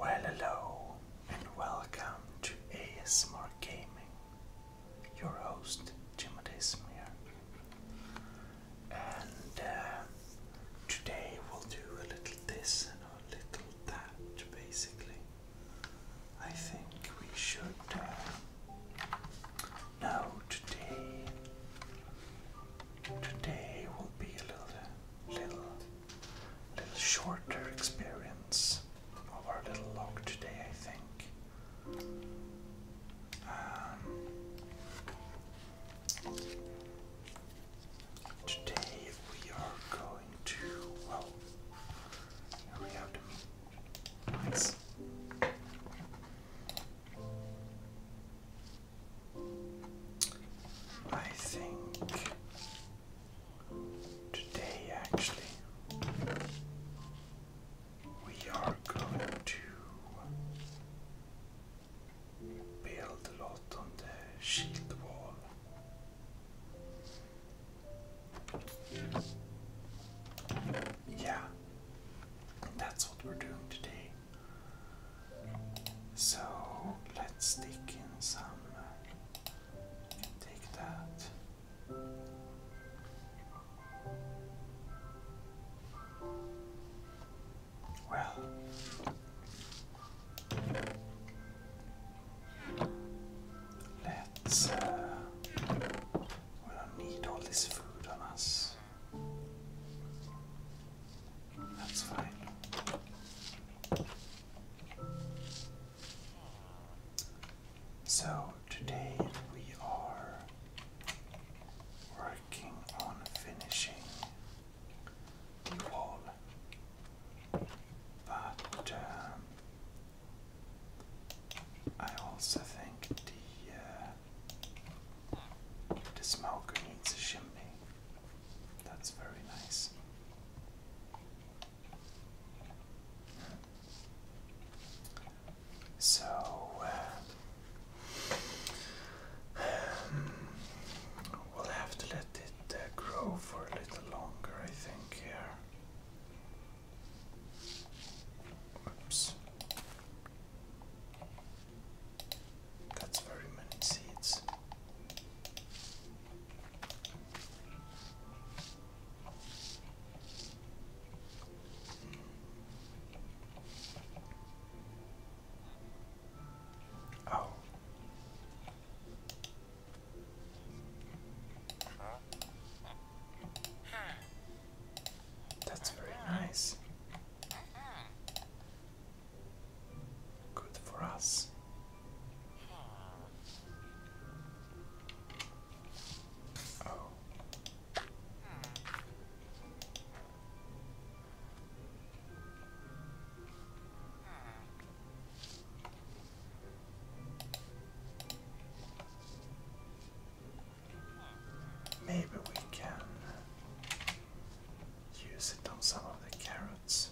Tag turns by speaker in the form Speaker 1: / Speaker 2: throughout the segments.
Speaker 1: Well, hello, and welcome to ASMR Gaming. Your host, Timothy Desmier, And uh, today we'll do a little this and a little that, basically. I think we should. Uh, today. Today will be a little. Uh, little little shorter experience of our little log today, I think. Um, today we are going to we have to nice. I think today actually we are going to build a lot on the shield wall. Yeah, that's what we're doing today. So let's take in some. take that. Well, let's. Uh, we don't need all this food on us. That's fine. So today we are working on finishing the wall, but um, I also think the uh, the smoker needs a chimney. That's very nice. So, um, we'll have to let it uh, grow for a little longer, I think, here. Oops. That's very many seeds. Oh. That's very nice. Good for us. Oh. Maybe we can Use it on some of the carrots.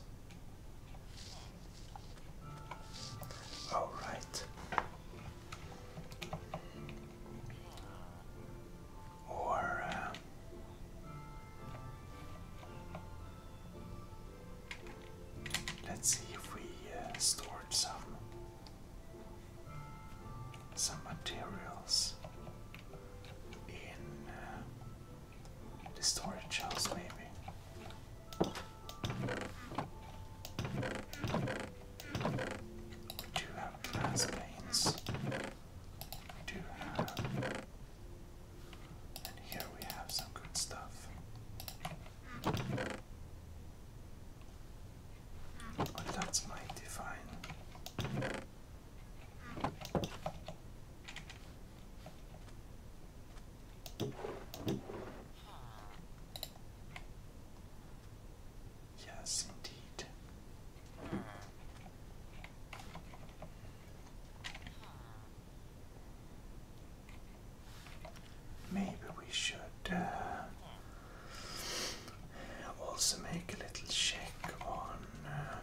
Speaker 1: All right. Or uh, let's see if we uh, stored some some materials in. Uh, Distorted shells, maybe. We do have glass panes. We do have. And here we have some good stuff. Oh, that's mighty fine. Yes, indeed. Maybe we should uh, also make a little check on uh,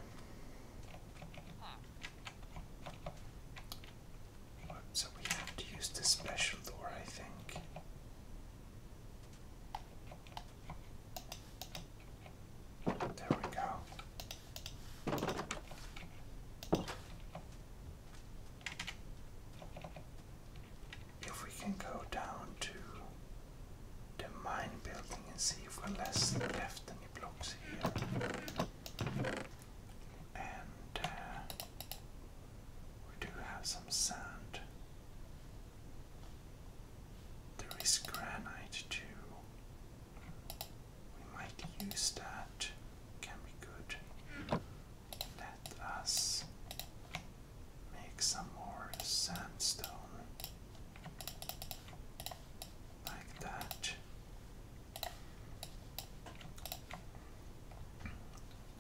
Speaker 1: so we have to use the special door, I think. There we go. If we can go down to the mine building and see if we have less left any blocks here. And uh, we do have some sand. There is granite too. We might use that. Can be good. Let us make some more sandstone like that.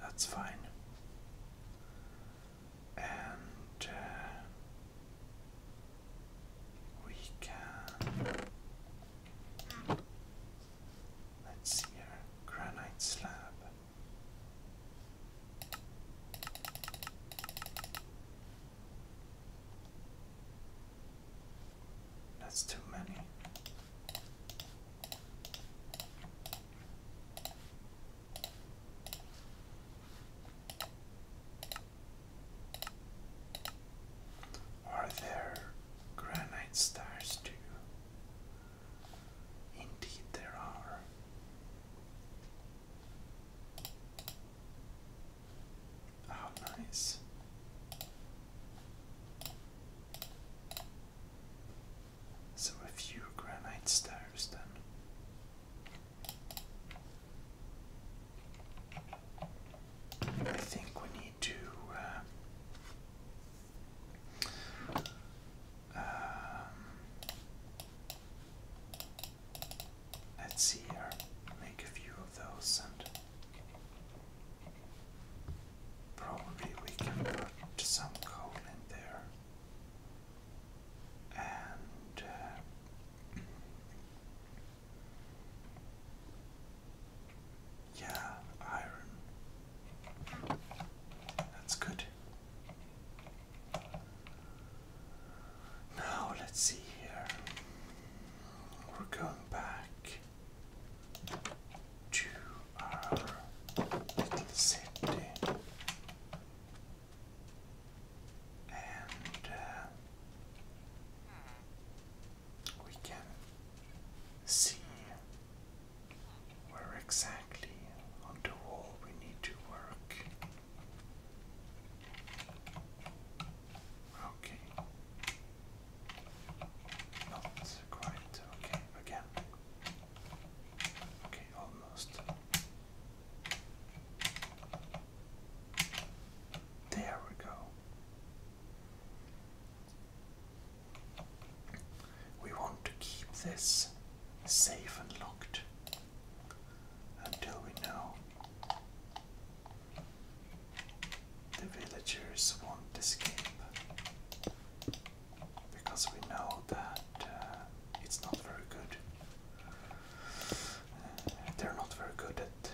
Speaker 1: That's fine. And uh, we can let's see here granite slab. That's too many. Are there granite stars too? Indeed, there are. Oh, nice. So a few granite stars, then. I think we need to uh, um, Let's see here. Make a few of those and probably we can put some coal in there. And uh, yeah, iron. That's good. Now let's see here. We're going back to our city. And uh, we can see where exactly on the wall we need to work. Okay. Not quite. Okay, again. Okay, almost. There we go. We want to keep this safe and locked until we know the villagers won't escape because we know that uh, it's not very good. Uh, they're not very good at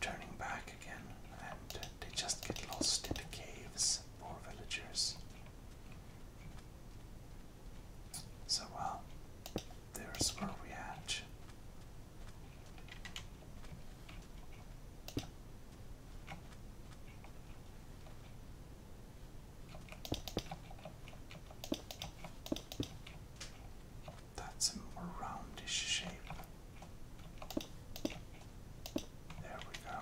Speaker 1: turning back again and they just get lost in the caves, poor villagers. So, well, there's where we hatch. That's a more roundish shape. There we go.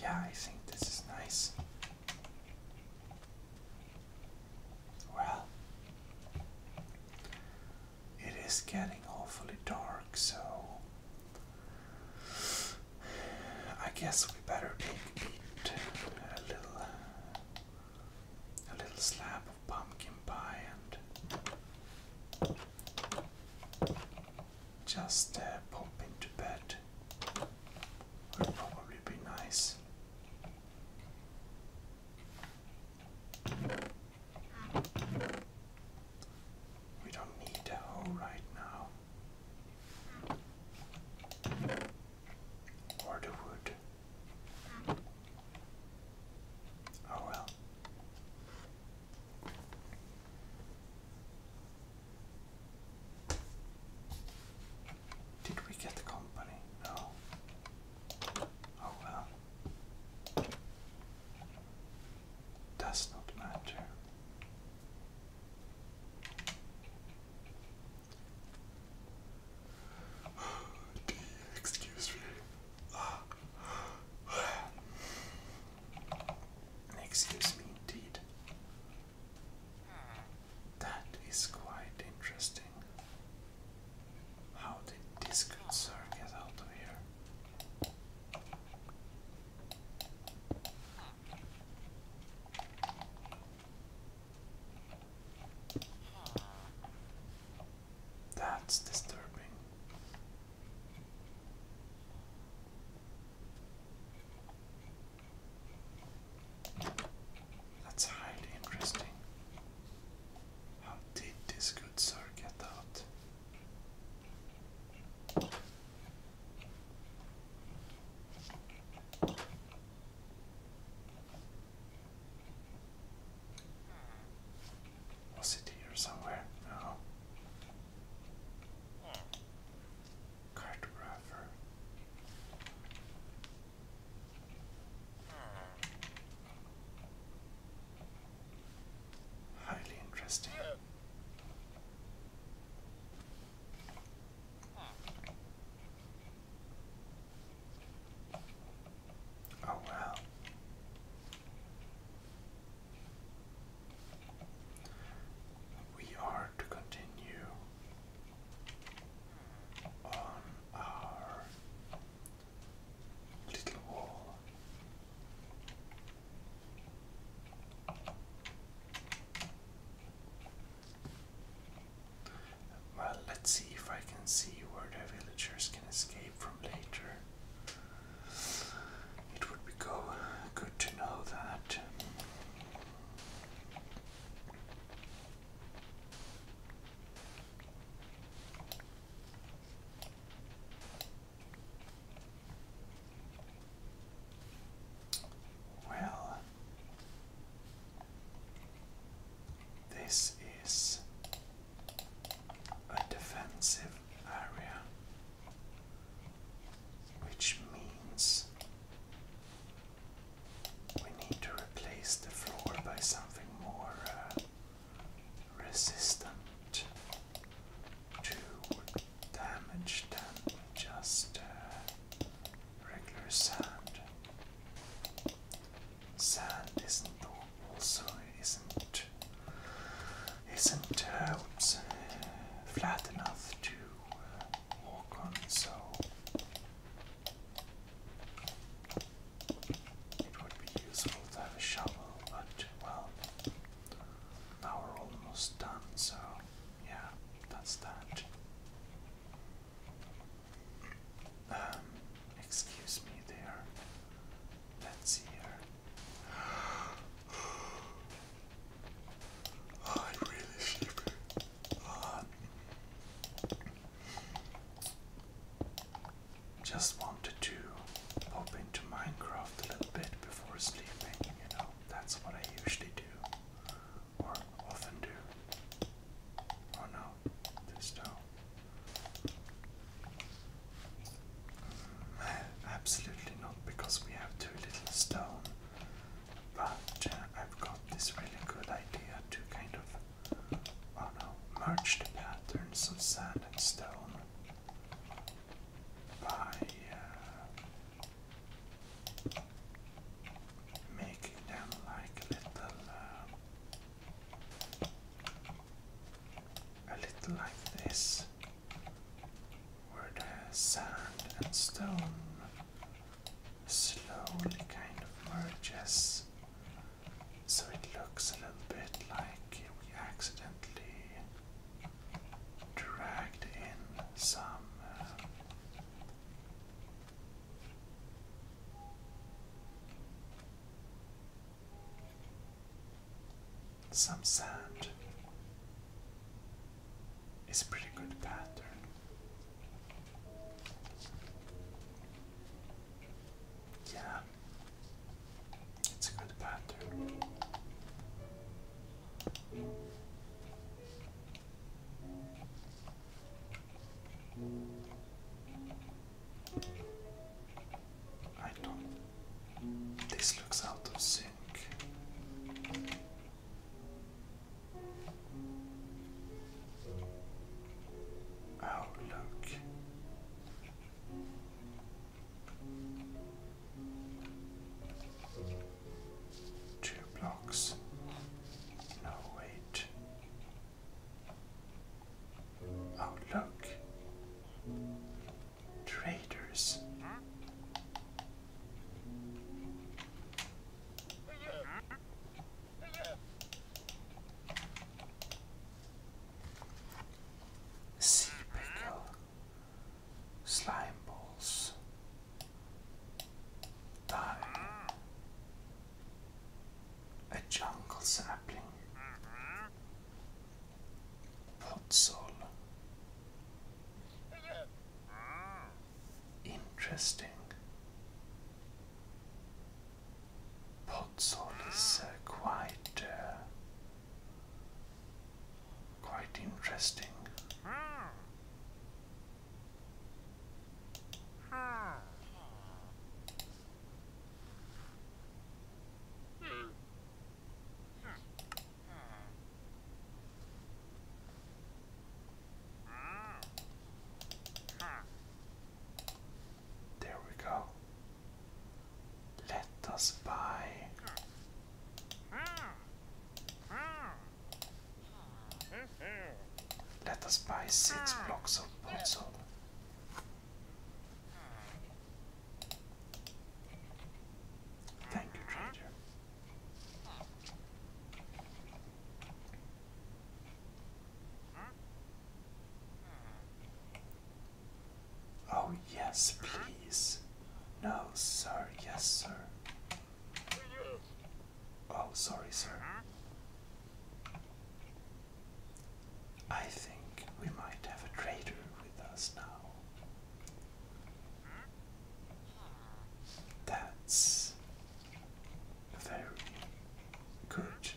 Speaker 1: Yeah, I think this is nice. Well, it is getting awfully dark, so I guess we better take eat a little a little slab of pumpkin pie and just uh, pop into bed. Would probably be nice. We don't need the hoe right now. Or the wood. Oh well. Did we get the company? No. Oh well does not matter. excuse me. Excuse me indeed. That is quite interesting. How did this good sir get out of here? That's disturbing. That's highly interesting. How did this good get out? Was it here somewhere? No. Cartographer. Highly interesting. Oh, wow. We are to continue on our well, let's see if I can see where the villagers can escape from later. It would be go good to know that. Well, this is a defensive area, which means we need to replace the floor by something more. Uh, resistant to damage than just uh, regular sand. Sand isn't also isn't isn't uh, flat enough to uh, walk on, so it would be useful to have a shovel, but well, now we're almost done, so yeah, that's that. Um, excuse me there. Let's see here. I really shiver. Uh, just wanted to pop into Minecraft a little bit before sleeping, you know, that's what I usually do, or often do. Oh no, this down. Mm, eh, absolutely not, because we have too little stone, but uh, I've got this really good idea to kind of, oh no, merge the patterns of sand and stone by uh, them like little, uh, a little like this, where the sand and stone slowly kind of merges. So it looks a little bit like we accidentally dragged in some uh, some sand. It's a pretty good pattern. Yeah, it's a good pattern. I do This looks out of sync. Oh, look. Two blocks. No, wait. Oh, look. Traders. Sea pickle. Slime balls. Time. A jungle sapling. Potsol. Interesting. Potsol is quite quite interesting. There we go. Let us buy. Let us buy six blocks of potsol. Thank you, trader. Oh, yes, please. No, sir, yes, sir. Oh, sorry, sir. I think we might have a trader with us now. That's very courage.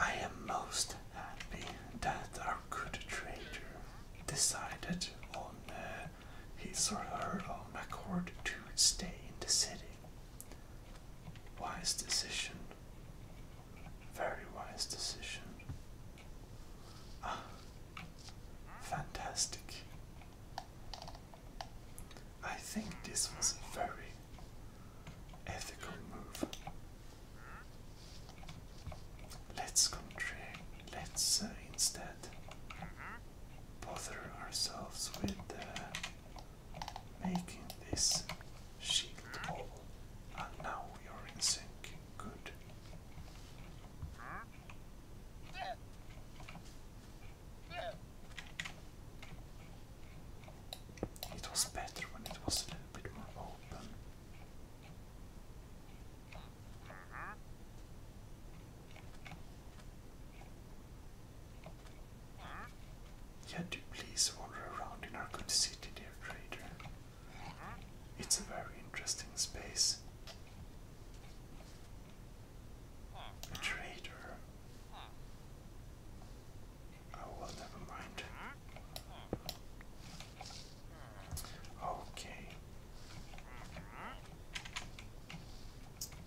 Speaker 1: I am most happy that our good trader decided on uh, his or her own accord to stay in the city. Wise decision. Very wise decision. Ah, fantastic. I think this was a very ethical move. Let's contract, let's uh, instead bother ourselves with uh, making this shield wall. And now we are in sync. Good. It was better when it was a little bit more open. Yeah, please wander around in our good city, dear trader. It's a very interesting space. trader. Oh, well, never mind. Okay.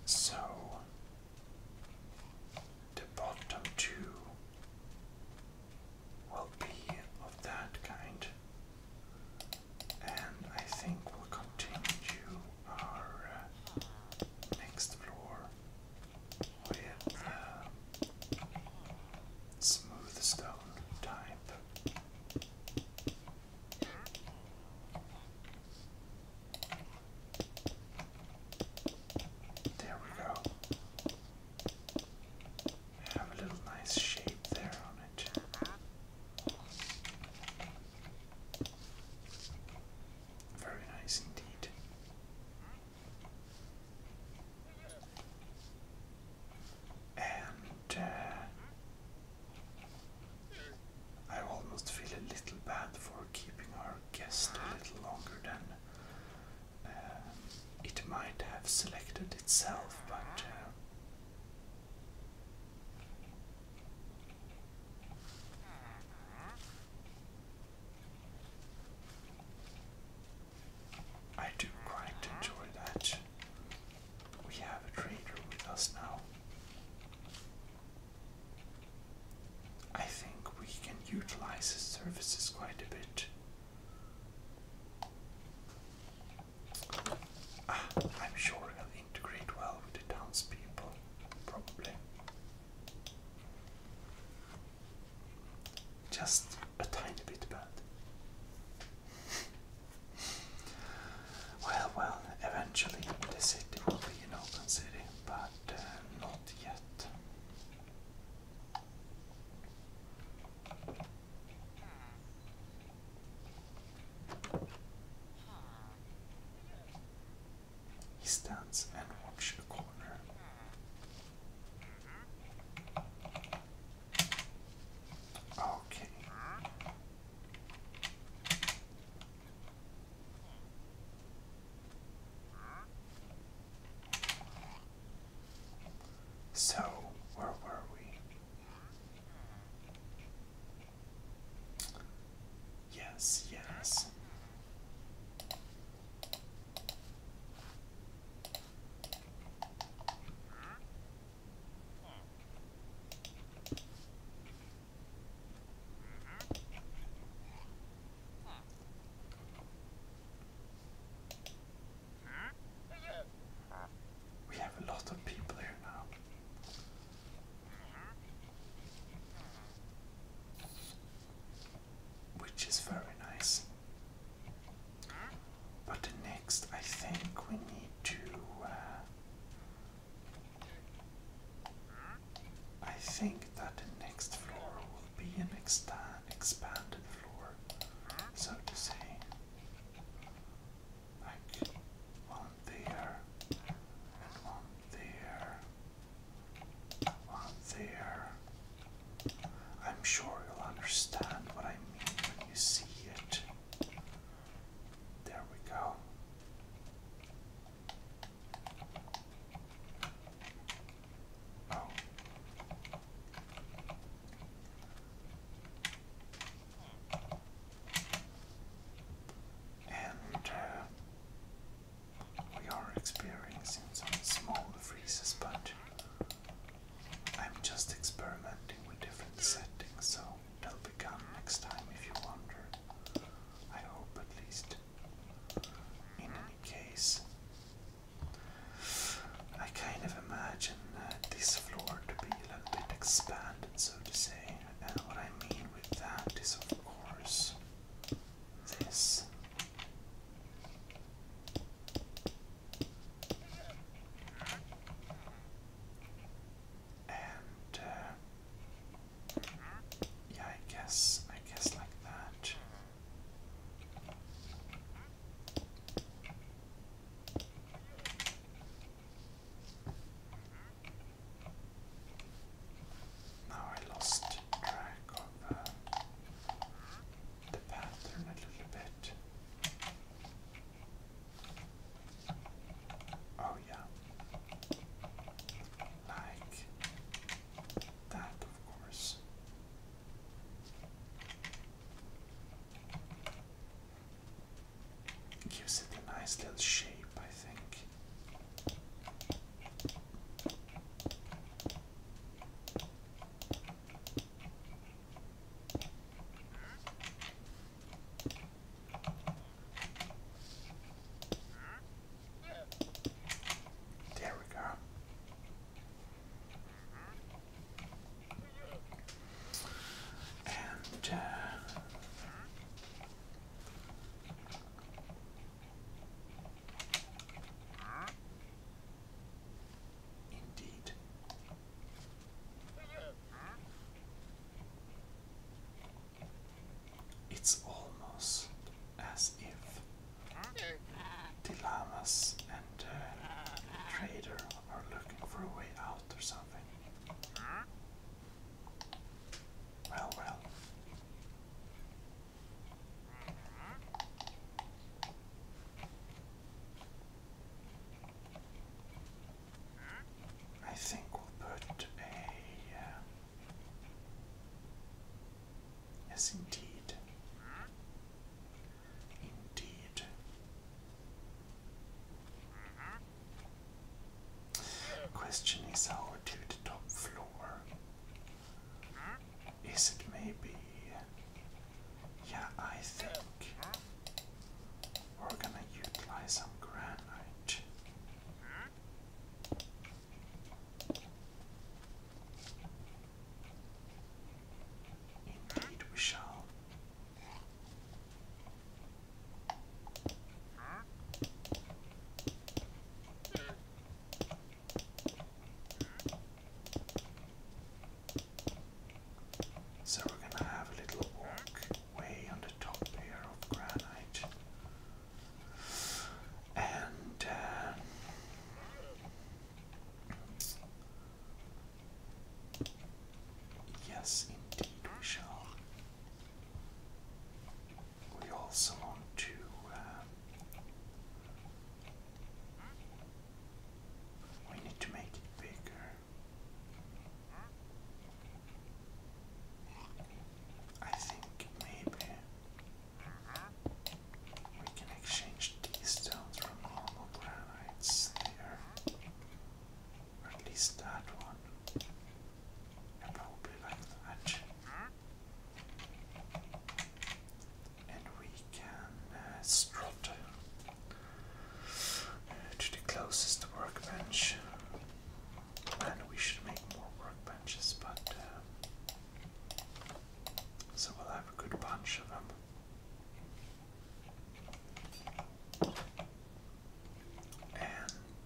Speaker 1: So the bottom two will be of that kind, and I think we'll continue our uh, next floor with oh, uh, smooth stone type. There we go. Have a little nice shape there on it. Very nice indeed. And uh, I almost feel a little bad for keeping our guest a little longer than uh, it might have selected itself, but. Uh, I do quite enjoy that. We have a trader with us now. I think we can utilize his services quite a bit. Ah, I'm sure he'll integrate well with the townspeople, probably. Just a tiny bit bad. well, well, eventually the city will be an open city, but uh, not yet. He stands and watches a corner. Okay. So, where were we? Yes, yes. We have a lot of people here now which is very nice. But next, I think we need to. Uh, I think that the next floor will be an exta expanded floor, so to say. Like one there, and one there, there. I'm sure you'll understand what I mean when you see it. There we go. Oh. And uh, we are experiencing some small freezes, but I'm just experimenting with different settings, so they'll be next time if you wonder. I hope at least. In any case, I kind of imagine uh, this floor to be a little bit expanded, so to say, and what I mean with that is, of course, this. And uh, yeah, I guess, I guess like that. Now I lost track of um, the pattern a little bit. Oh, yeah. Like that, of course. gives it a nice little shape, I think. There we go. And uh, Indeed. It's almost as if Dilamas and uh, trader are looking for a way out or something. Well, well. I think we'll put a. Uh, yes, indeed. Indeed. Question is how to the top floor. Is it maybe? Yeah, I think we're gonna utilize some granite. Indeed, we shall. So we're gonna have a little walk way on the top here of granite. And uh, yes, indeed, we shall we also want to um, we need to make it bigger. I think maybe we can exchange these stones from normal granites there. Or at least that one. And probably like that. And we can uh, strut uh, to the closest workbench. And we should make more workbenches, but uh, so we'll have a good bunch of them. And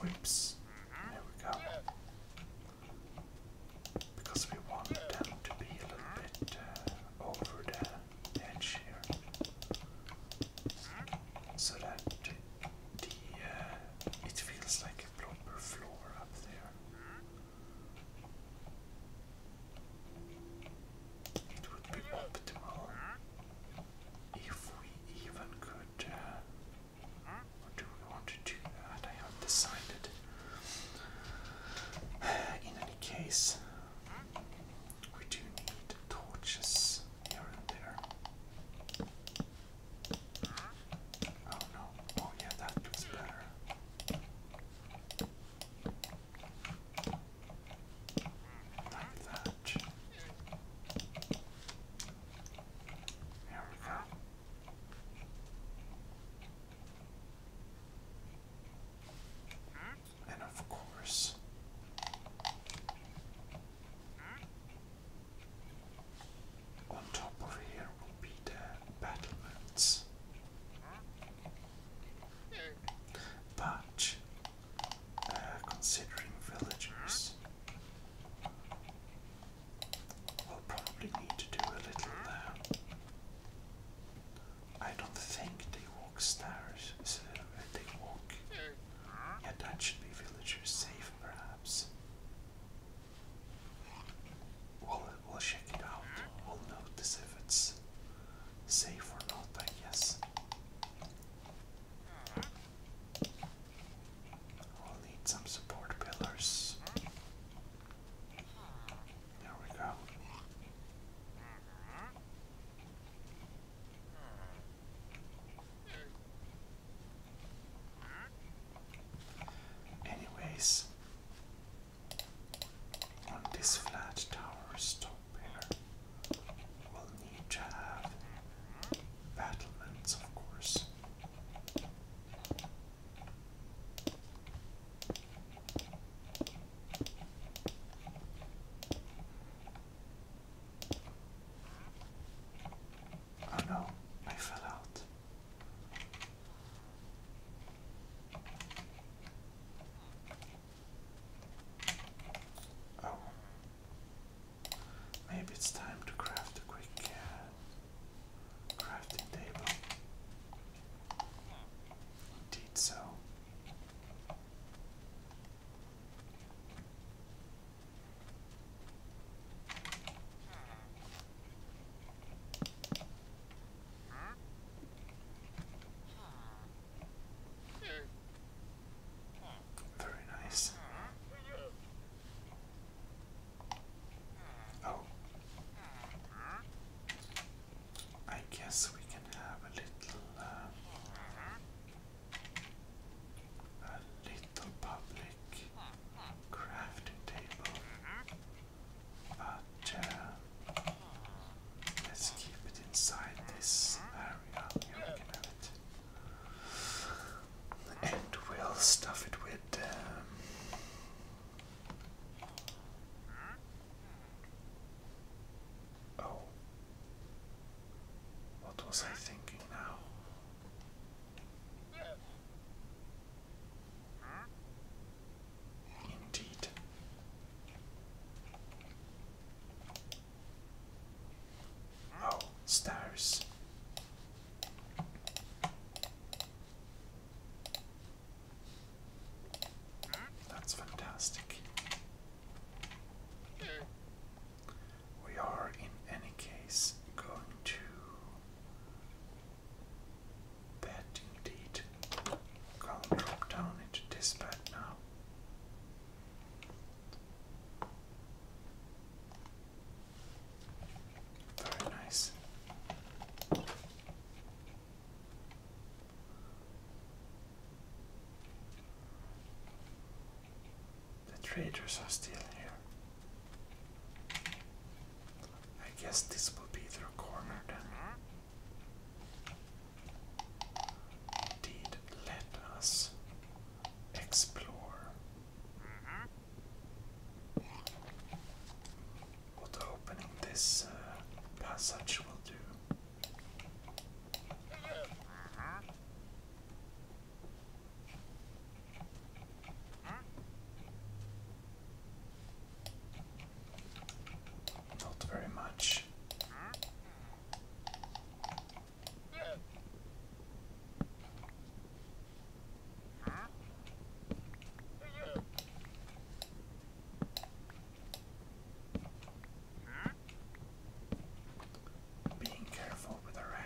Speaker 1: Whoops. There we go. Because we want them to be a bit uh, over the edge here. So that the uh, it feels like a proper floor up there. It would be optimal if we even could, uh, do we want to do that? I haven't decided. In any case, we do need torches here and there. Oh no, oh yeah, that looks better. Like that. There we go. And of course, on top of here will be the battlements. But uh, considering villagers. We'll probably need to do a little. Uh, I don't think they walk stairs. So they walk. that should be villagers safe, perhaps. We'll, we'll check it out. We'll notice if it's safe or not, I guess. We'll need some support pillars. There we go. Anyways, on this flat tower stone, We'll need to have battlements, of course. Oh no, I fell out. Oh, Maybe it's time to craft a quick uh, crafting table. Indeed so. Very nice. Oh. I guess we can have a little, uh, a little public crafting table, but uh, let's keep it inside this area. Here we it and we'll stuff it with um, oh what was I thinking now? Indeed. Oh, stars. That's fantastic. We are, in any case, going to bed indeed. I'll drop down into this bed now. All right, nice. The traders are still here. I guess this will be their corner then. Indeed, let us explore. What opening this uh, passage will do. Not very much. Being careful with our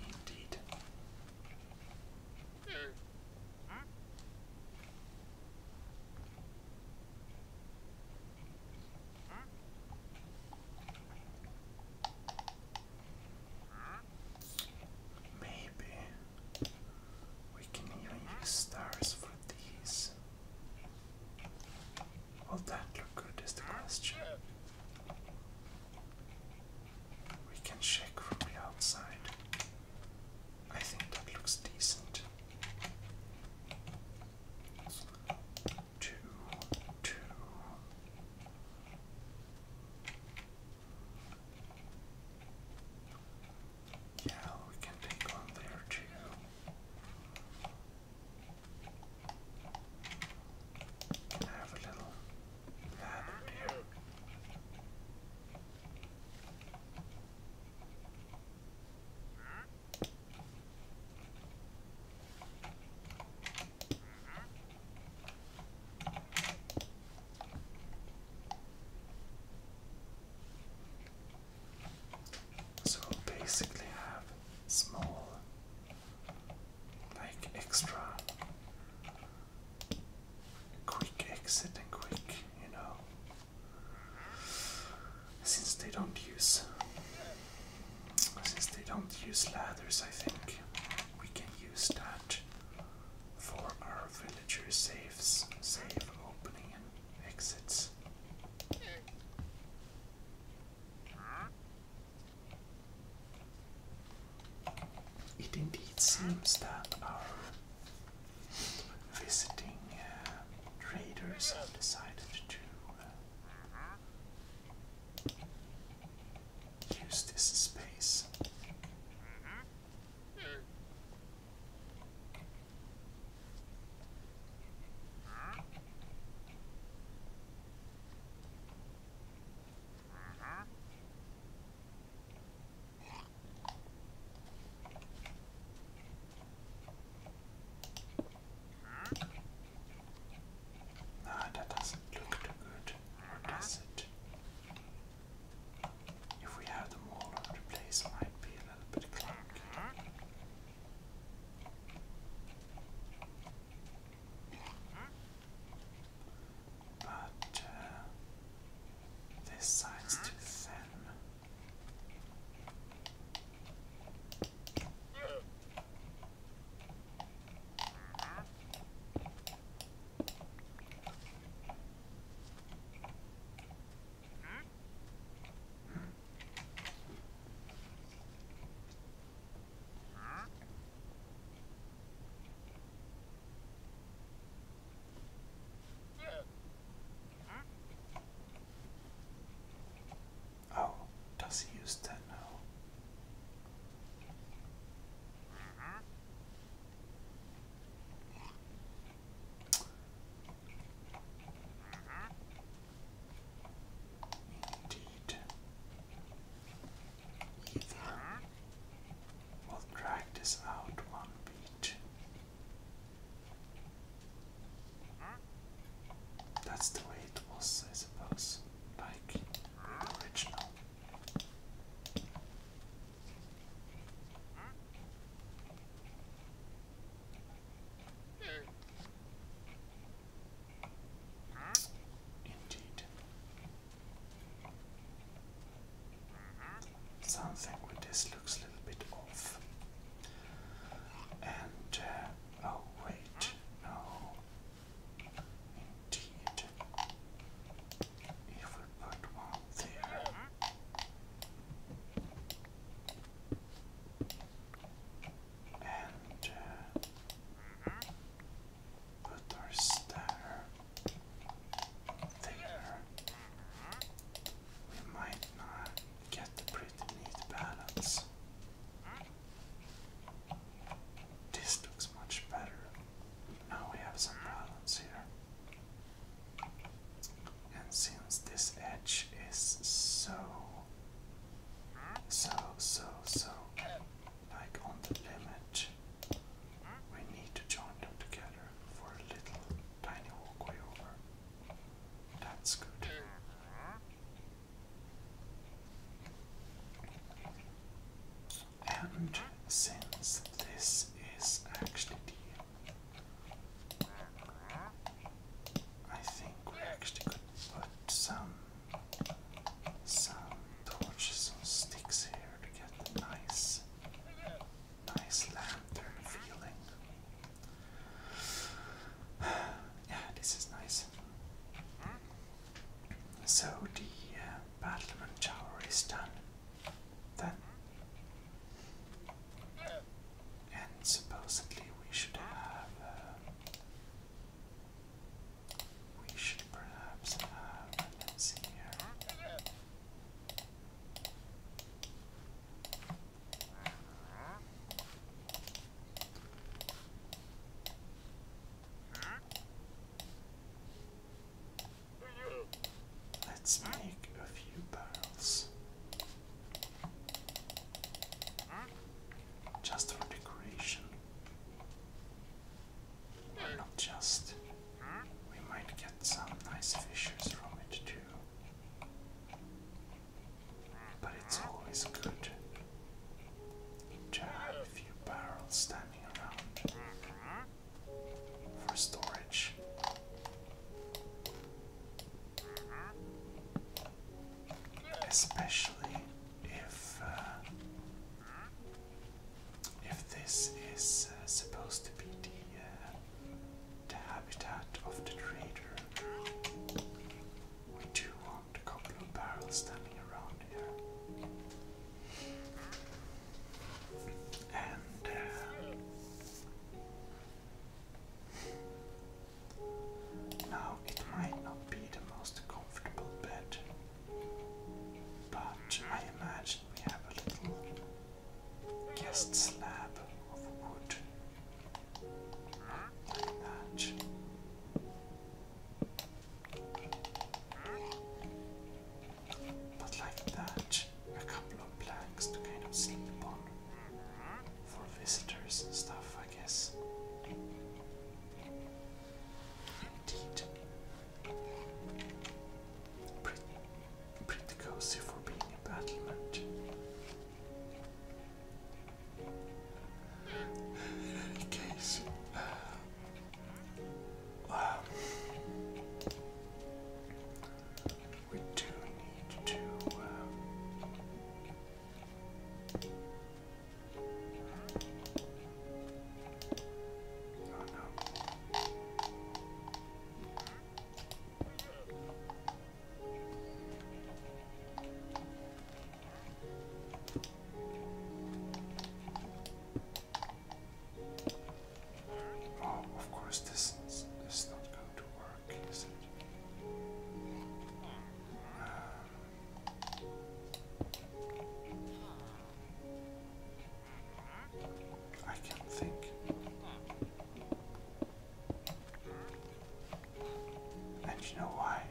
Speaker 1: Indeed. Maybe we can use stars for these. Will that look good is the question. We can check from the outside. I think that looks decent. Two, two. Yeah, we can take on there too. have a little ladder here? So basically have small like extra quick exit and quick, you know. Since they don't use since they don't use ladders, I think we can use that for our villager saves, safe opening and exits. It indeed seems that our visiting uh, traders have decided to uh, use this space. No, that doesn't look too good, does it? If we have them all the place, might be a little bit clunky but uh, this side's too thin. Oh, does he use that now? Indeed. Either. We'll drag this out one that's the way it was, I suppose, like original. Indeed. Something with this looks a little bit off. And, uh, oh wait, no. Indeed. If we put one there. And uh, put our there there. We might not get the pretty neat balance. This looks much better. Now we have some balance here. And since this edge is so, so, so, so, like on the limit, we need to join them together for a little tiny walkway over. That's good. And since this is actually the I think we actually could put some some torches and sticks here to get nice nice lantern feeling. yeah, this is nice. So the uh, battlement tower is done. Then. And supposedly we should have. Uh, we should perhaps have. Let's Let's make a few barrels just for decoration not just. We might get some nice fishes from it too. But it's always good to have a few barrels standing around for storage. Especially if uh, if this is uh, supposed to be the, uh, the habitat of the trader. We do want a couple of barrels standing around here. And uh, now it might not be the most comfortable bed. But I imagine we have a little guest slab of wood But like that, a couple of planks to kind of sleep on for visitors and stuff, I guess indeed. Pretty, pretty cozy for being a battlement. In case, uh, um, we do need to. Uh, Oh of course, this is, not going to work, is it? I can't think. And you know why?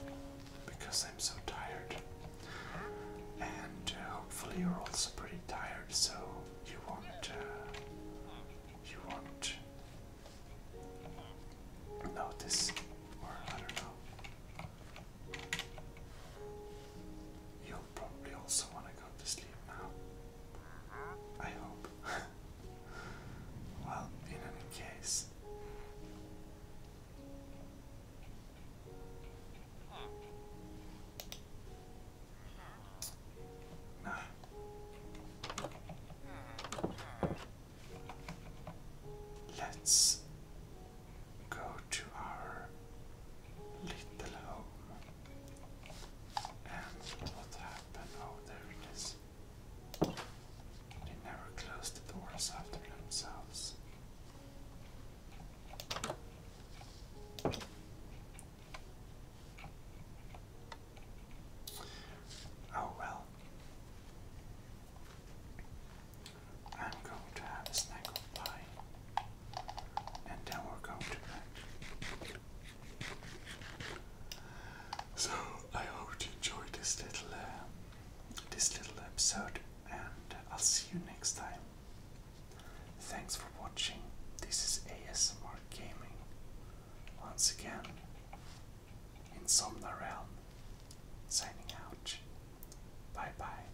Speaker 1: Because I'm so tired. And uh, hopefully you're also pretty tired, so you won't. Uh, you won't notice, or I don't know. you probably also want to go to sleep now. I hope. well, in any case. Nah. Let's go to our little home. And what happened? Oh, there it is. They never close the doors after themselves. Oh well. I'm going to have a snack pie and then we're going to So I hope you enjoyed this little uh, this little episode, and I'll see you next time. Thanks for watching. This is ASMR Gaming once again. Insomnia Realm signing out. Bye bye.